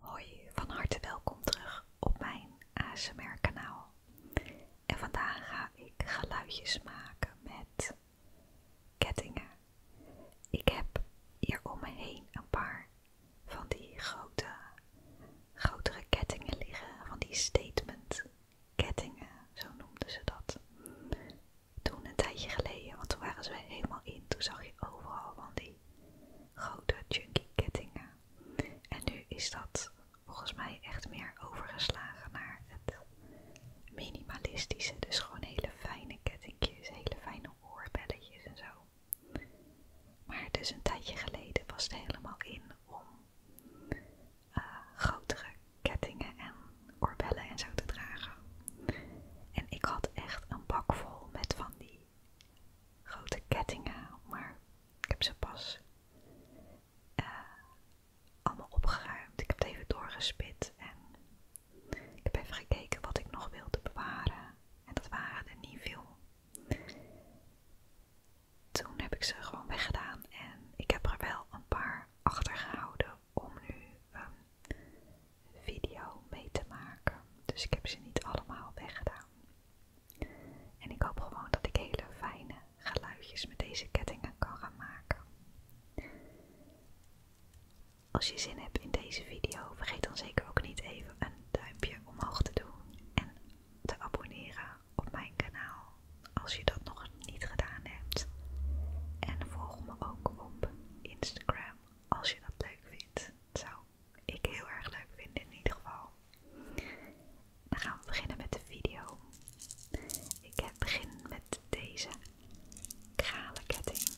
Hoi, van harte welkom terug op mijn ASMR kanaal. En vandaag ga ik geluidjes maken met kettingen. Ik heb hier om me heen een paar van die grote, grotere kettingen liggen, van die statement kettingen, zo noemden ze dat. Toen een tijdje geleden, want toen waren ze helemaal in, toen zag je overal van die grote chunky kettingen. En nu is dat volgens mij echt meer overgeslagen naar het minimalistische. Dus gewoon hele fijne kettingjes, hele fijne oorbelletjes en zo. Maar dus een tijdje geleden was het helemaal in om eh, grotere kettingen en oorbellen en zo te dragen. En ik had echt een bak vol met van die grote kettingen, maar ik heb ze pas eh, allemaal opgeruimd. Ik heb het even doorgespit en ik heb even gekeken wat ik nog wilde bewaren. En dat waren er niet veel. Toen heb ik ze gewoon weggedaan en ik heb er wel een paar achter gehouden om nu ehm, video mee te maken. Dus ik heb ze niet allemaal weggedaan. En ik hoop gewoon dat ik hele fijne geluidjes met deze kettingen kan gaan maken. Als je zin hebt in deze video, vergeet dan zeker ook niet even een duimpje omhoog te doen en te abonneren op mijn kanaal als je dat nog niet gedaan hebt. En volg me ook op Instagram als je dat leuk vindt. Tot ik heel erg leuk vind in ieder geval. Dan gaan we beginnen met de video. Ik begin met deze ketting.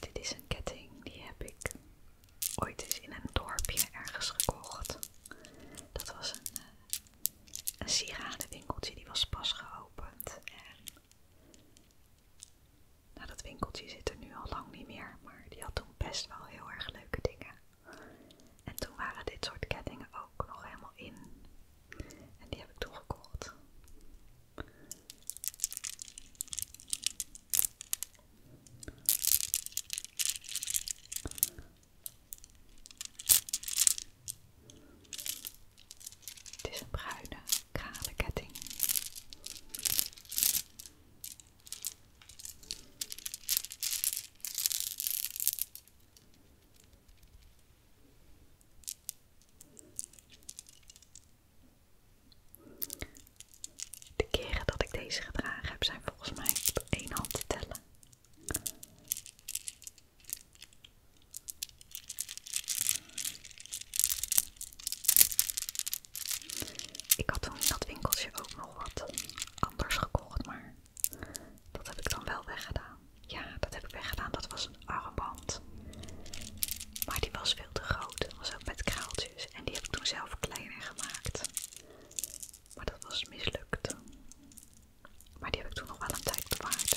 Dit is een ketting die heb ik ooit eens in een dorpje ergens gekocht. Dat was een eh, een sieradenwinkeltje, die was pas geopend. En nou, dat winkeltje zit er nu al lang niet meer, maar die had toen best wel heel erg leuke dingen. En toen waren dit soort kettingen ook nog helemaal in. En die heb ik toen gekocht. Het is een bruine kralen ketting. De keren dat ik deze gedragen heb zijn volgens mij op één hand te tellen. Ik had toen in dat winkeltje ook nog wat anders gekocht, maar dat heb ik dan wel weggedaan. Ja, dat heb ik weggedaan. Dat was een armband. Maar die was veel te groot. Dat was ook met kraaltjes. En die heb ik toen zelf kleiner gemaakt. Maar dat was mislukt. Maar die heb ik toen nog wel een tijd bewaard.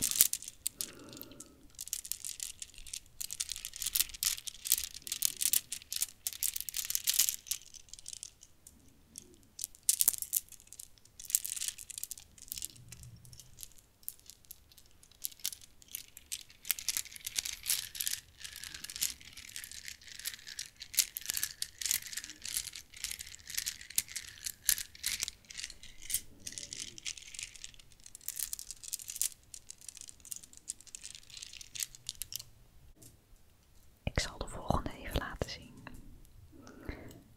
Ik zal de volgende even laten zien.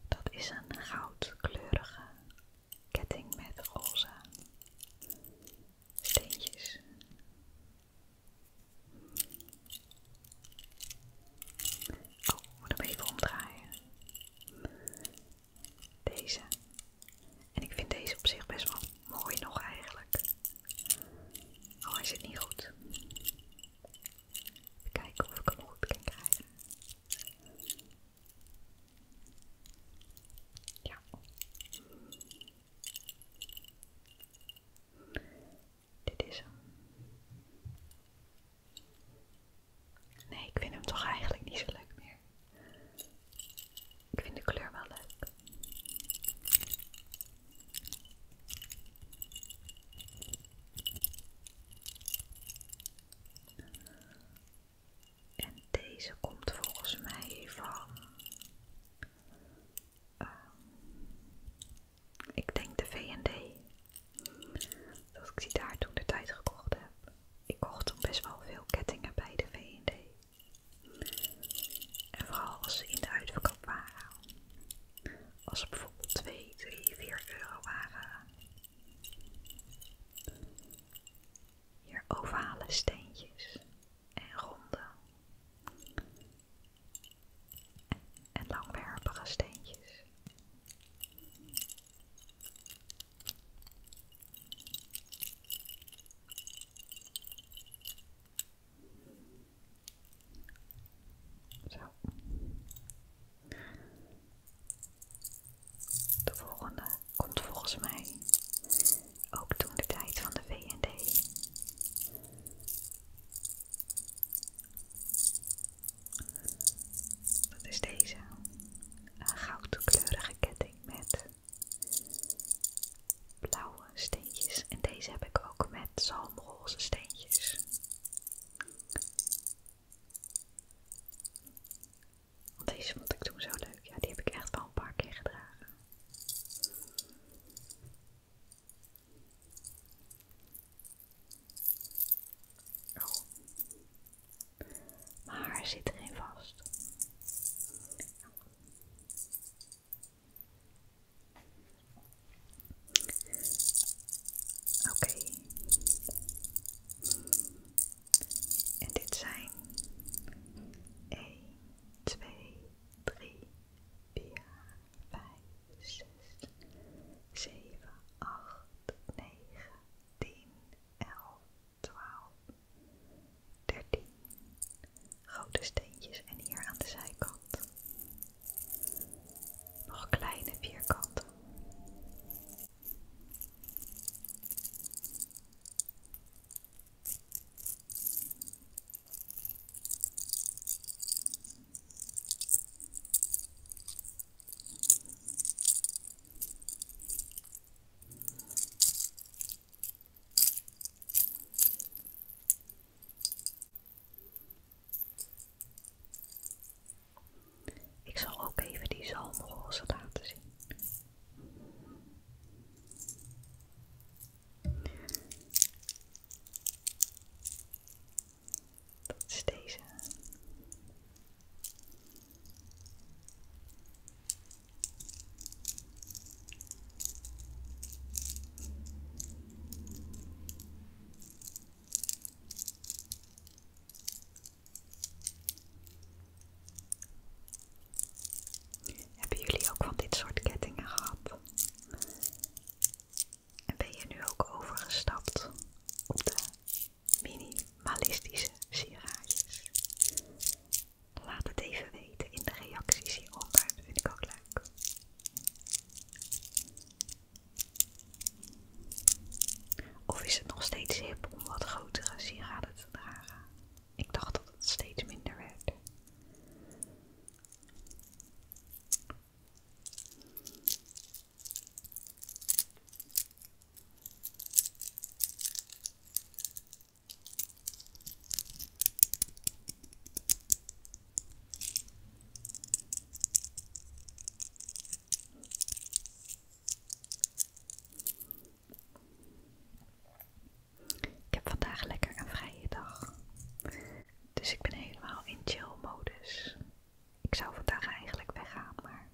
Dat is een goudkleurige ketting met roze steentjes. Oh, ik moet hem even omdraaien. Deze. En ik vind deze op zich best wel mooi nog eigenlijk. Al is het niet goed. Even kijken of ik hem goed kan krijgen. Ja. Dit is hem. Nee, ik vind hem toch eigenlijk niet zo leuk meer. Ik vind de kleur wel leuk. En deze komt volgens mij van. Ehm, ik denk de VD. Dat ik die daar toen de tijd gekocht heb. Ik kocht toen best wel veel kettingen bij de V&D. En vooral als ze in de uitverkoop waren. Als ze bijvoorbeeld 2, 3, 4 euro waren. Hier ovale steentjes en ronde en langwerpige steentjes. De volgende komt volgens mij ook toen de tijd van de VVD dat is deze. Een goudkleurige ketting met blauwe steentjes. En deze heb ik ook met zalmroze steentjes. deze vond ik toen zo leuk. Ja, die heb ik echt wel een paar keer gedragen. Oh. Maar haar zit erin vast. Oké. En dit zijn 1, 2, 3, 4, 5, 6, 7, 8, 9, 10, 11, 12, 13 grote steentjes en hier aan de zijkant nog kleine vierkanten. Ik zal ook even die zalmroze laten zien. Hebben jullie ook van dit soort kettingen gehad? En ben je nu ook overgestapt op de minimalistische sieraadjes. Laat het even weten in de reacties hieronder, dat vind ik ook leuk. Of is het nog steeds hip om wat grotere sieraden te dragen? Ik dacht dat het steeds minder werd. Ik heb vandaag lekker een vrije dag. Dus ik ben helemaal in chill modus. Ik zou vandaag eigenlijk weggaan, maar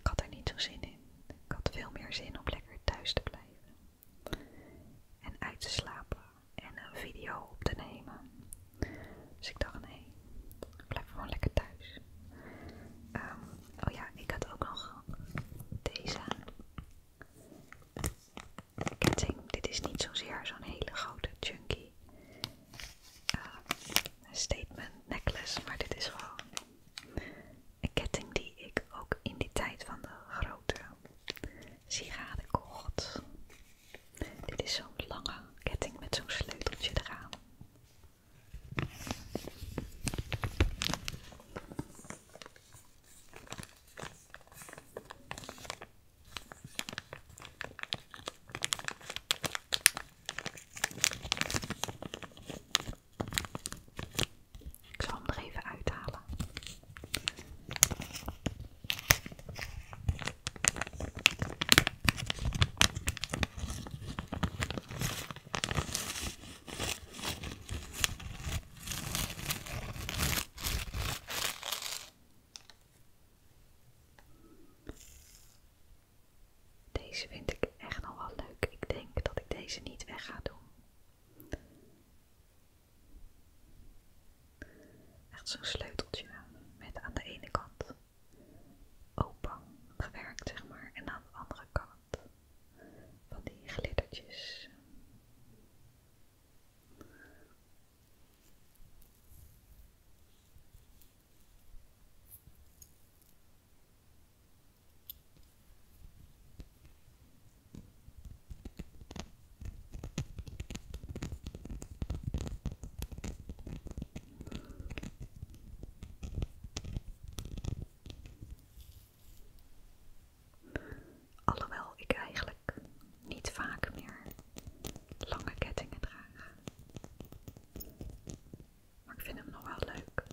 ik had er niet zo zin in. Ik had veel meer zin om lekker thuis te blijven. En uit te slapen en een video op te nemen. Dus ik dacht, nee, ik blijf gewoon lekker thuis. Ehm, oh ja, ik had ook nog deze. Ketting, dit is niet zozeer zo'n hele grote chunky uh, statement necklace, maar dit is gewoon een ketting die ik ook in die tijd van de grote sigaren kocht. Dit is zo'n lange ketting met zo'n sleuteltje eraan. Ik zal hem er even uithalen. Deze vind ik echt nog wel leuk. Ik denk dat ik deze niet weg ga doen. Echt zo'n sleuteltje met aan de ene kant open gewerkt, zeg maar, en aan de andere kant van die glittertjes. Alhoewel ik eigenlijk niet vaak meer lange kettingen draag. Maar ik vind hem nog wel leuk.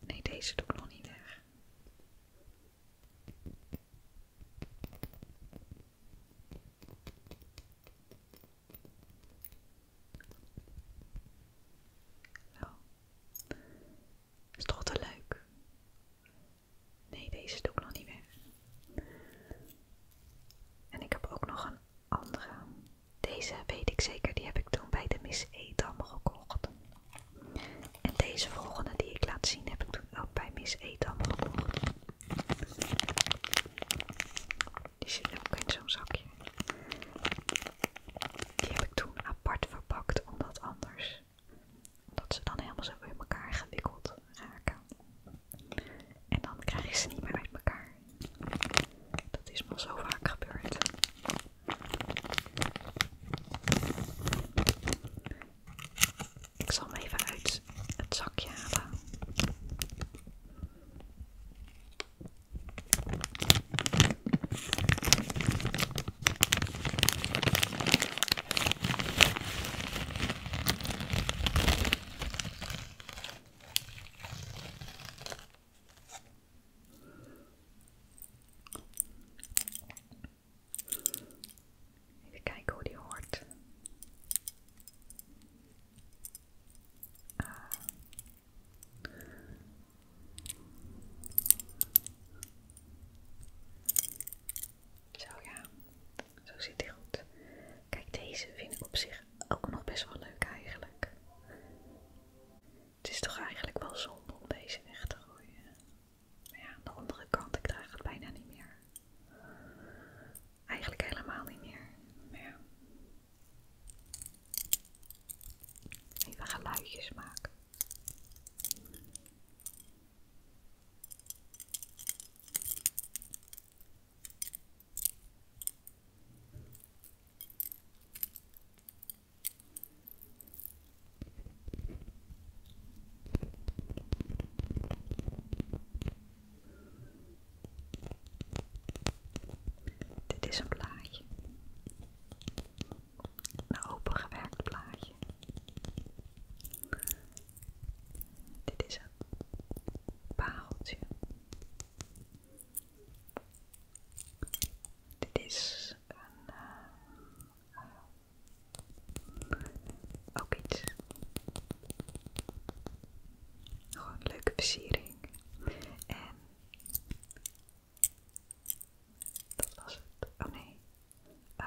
Nee, deze doe ik nog niet weg. Zo. Is toch te leuk? Nee, deze doe ik nog niet weg. En ik heb ook nog een andere. Deze weet ik zeker, die heb ik toen bij de Miss Edam gekocht. En deze volgende die ik laat zien heb ik toen ook bij Miss Edam gekocht. Die zit ook in zo'n zakje. Die heb ik toen apart verpakt, omdat anders, dat ze dan helemaal zo in elkaar gewikkeld raken. En dan krijg je ze niet meer uit elkaar. Dat is wel zo vaak gebeurd. Ik zal hem even uit het zakje halen. Even kijken hoe die hoort. Ah. Zo ja, zo zit hij goed. Kijk, deze vind ik op zich ook nog best wel leuk eigenlijk. Het is toch eigenlijk wel zonde om deze weg te gooien. Maar ja, aan de andere kant, ik draag het bijna niet meer. Eigenlijk helemaal niet meer. ja. Even geluidjes maken. Dit is een plaatje, Een opengewerkt plaatje. Dit is een pareltje. Dit is een, uh, uh, ook iets. Gewoon leuke versiering. En dat was het. Oh nee. Uh,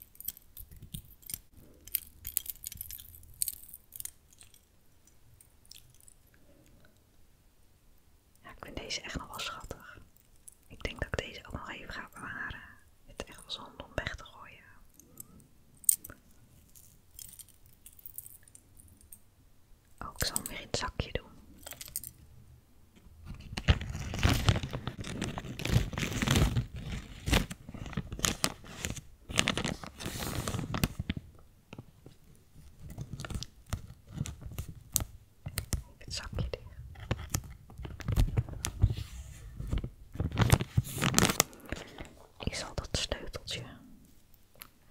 ik vind deze echt nog wel schattig. Ik denk dat ik deze ook nog even ga bewaren. Het is echt wel zonde om weg te gooien. Ook oh, ik zal hem weer in het zakje doen. Het zakje Ik zal dat sleuteltje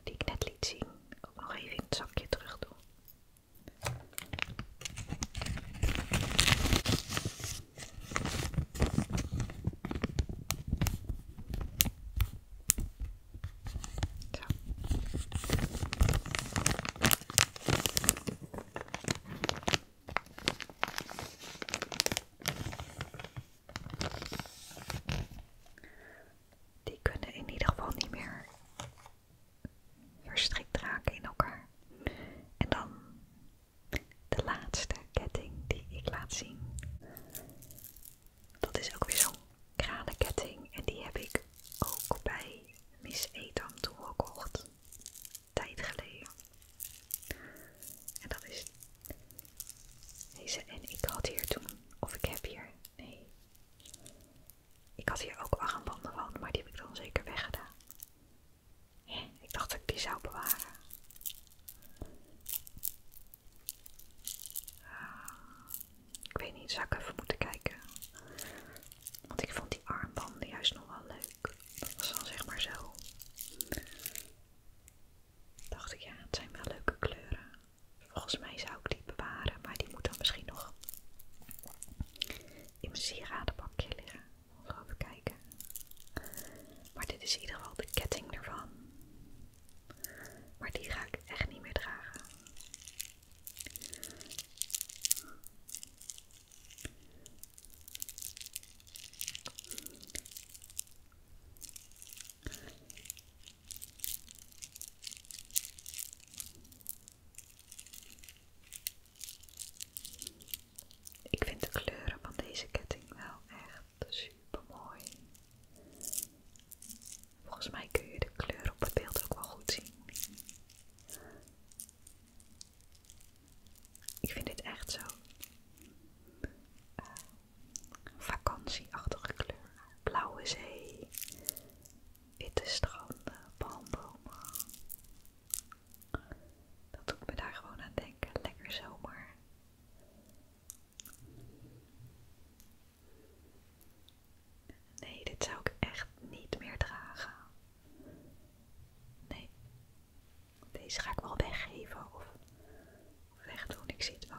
die ik net liet zien ook nog even in het zakje terug doen. Zo. Die kunnen in ieder geval niet meer verstrikt raken in elkaar. En dan de laatste ketting die ik laat zien. Dat is ook weer zo'n kranenketting. En die heb ik ook bij Miss Etam toen gekocht. Tijd geleden. En dat is deze. En ik had hier toen, of ik heb hier, nee. Ik had hier ook armbanden van, maar die heb ik dan zeker weggedaan. Ik dacht dat ik die zou bewaren. ik weet niet, zou ik even moeten kijken. Want ik vond die armbanden juist nog wel leuk. Dat was dan zeg maar zo. Dacht ik, ja, het zijn wel leuke kleuren. Volgens mij zou ik die bewaren, maar die moet dan misschien nog in mijn sieradenbakje liggen. Nog kijken. Maar dit is in ieder geval de ketting ervan. Maar die ga ik echt niet meer dragen. Ik vind de kleuren van deze ketting wel echt super mooi. Volgens mij kun je de kleur op het beeld ook wel goed zien. Ik vind dit echt zo eh, vakantieachtige kleur. Blauwe zee, witte stranden, palmbomen. Dat doet me daar gewoon aan denken. Lekker zomer. Nee, dit zou ik echt niet meer dragen. Nee. Deze ga ik wel weggeven of wegdoen. Ik zie het wel.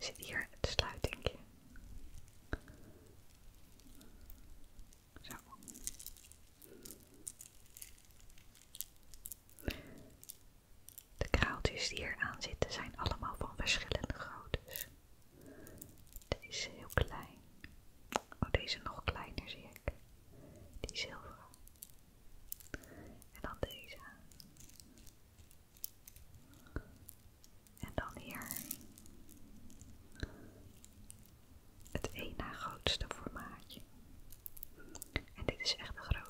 zit hier het sluiting. Zo. De kraaltjes die hier aan zitten zijn allemaal van verschillende groottes. Deze is heel klein. Oh, deze nog kleiner zie ik. Die zilveren. En dan deze. En dan hier het één na grootste formaatje. En dit is echt de grootste.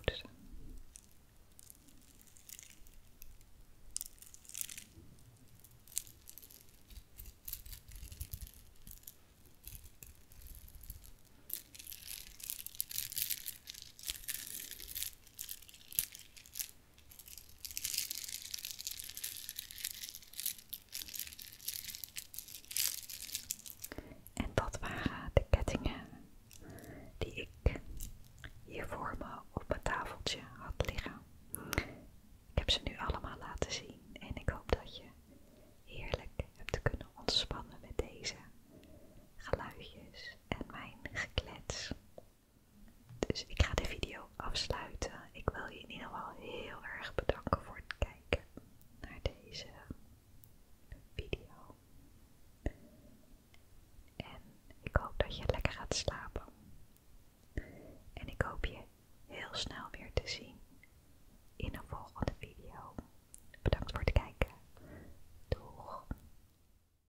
En dat waren de kettingen die ik hier voor me op mijn tafeltje had liggen. Ik heb ze nu allemaal laten zien en ik hoop dat je heerlijk hebt kunnen ontspannen met deze geluidjes en mijn geklets. Dus ik ga de video afsluiten. Ik wil je in ieder geval heel erg bedanken voor het kijken naar deze video. En ik hoop dat je lekker gaat slapen. En ik hoop je heel snel weer te zien in een volgende video. Bedankt voor het kijken. Doeg!